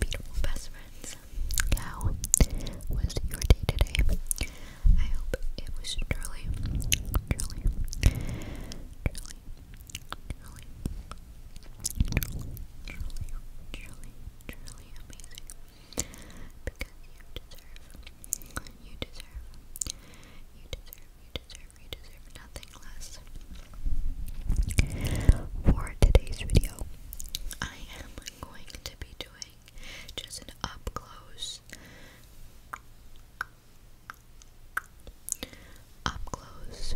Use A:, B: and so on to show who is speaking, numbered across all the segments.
A: beautiful, best friends. How was your day today? I hope it was truly, truly, truly, truly, truly, truly, truly amazing. Because you deserve, you deserve, you deserve, you deserve, you deserve nothing for today's video, I am going to be doing just an up close, up close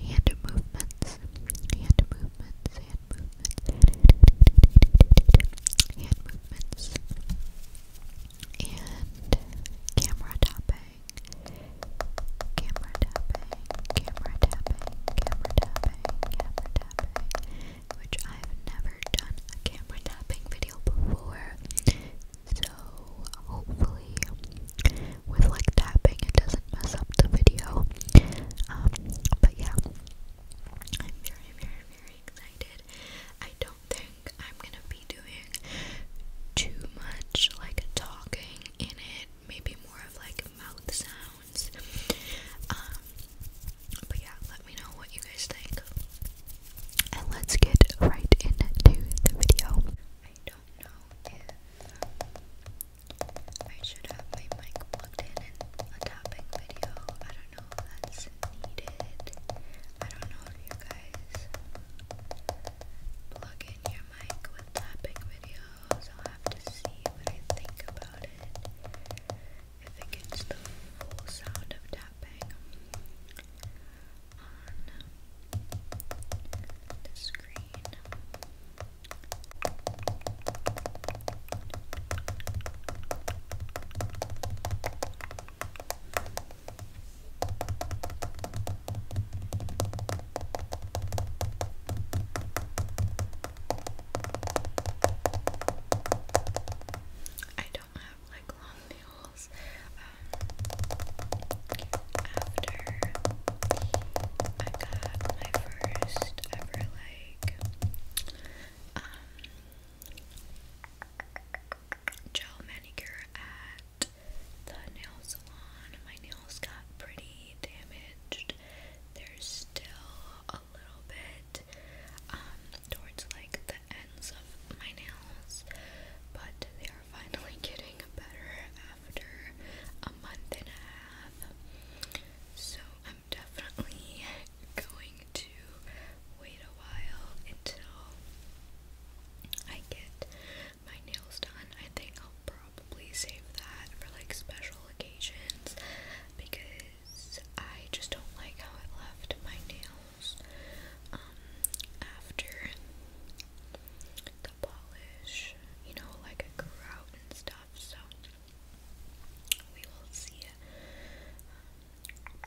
A: hand movements, hand movements, hand movements, hand movements, and camera tapping camera tapping, camera tapping, camera tapping, camera tapping, which I've never done a camera tapping video before. So hopefully with like tapping it doesn't mess up the video. Um, but yeah. I'm very very very excited. I don't think I'm gonna be doing too much like talking in it maybe more of like mouth sounds. Um, but yeah, let me know what you guys think. And let's get right into the video. I don't know if I should have my mic plugged in in a tapping video. I don't know if that's needed. I don't know if you guys plug in your mic with tapping videos. I'll have to see what I think about it. If it gets the full sound of tapping on the screen. I I don't have like long nails. Um, after I got my first ever like um, gel manicure at the nail salon. My nails got pretty damaged. There's still a little bit um, towards like the ends of my nails, but they are finally getting better after a month and a half. So I'm definitely going to wait a while until I get my nails done. I think I'll probably save that for like special occasions because I just don't like how it left my nails um after the polish, you know, like it grew out and stuff, so we will see it. Um,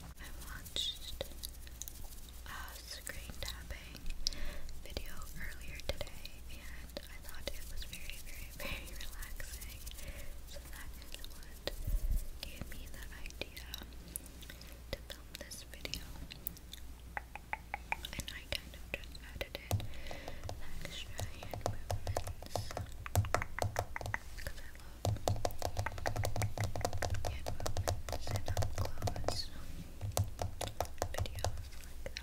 A: I watched a uh, screen tapping video earlier today and I thought it was very, very, very relaxing. So that is what gave me the idea to film this video. And I kind of just edited extra movements because I love hand movements and up close videos like that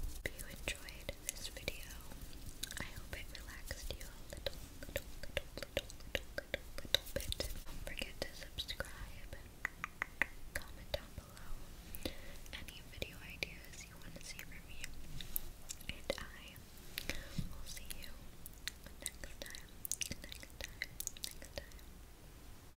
A: Hope you enjoyed this video. I hope it relaxed you a little, little, little, little, little, little, bit. Don't forget to subscribe, comment down below any video ideas you want to see from me, and I will see you next time, next time, next time.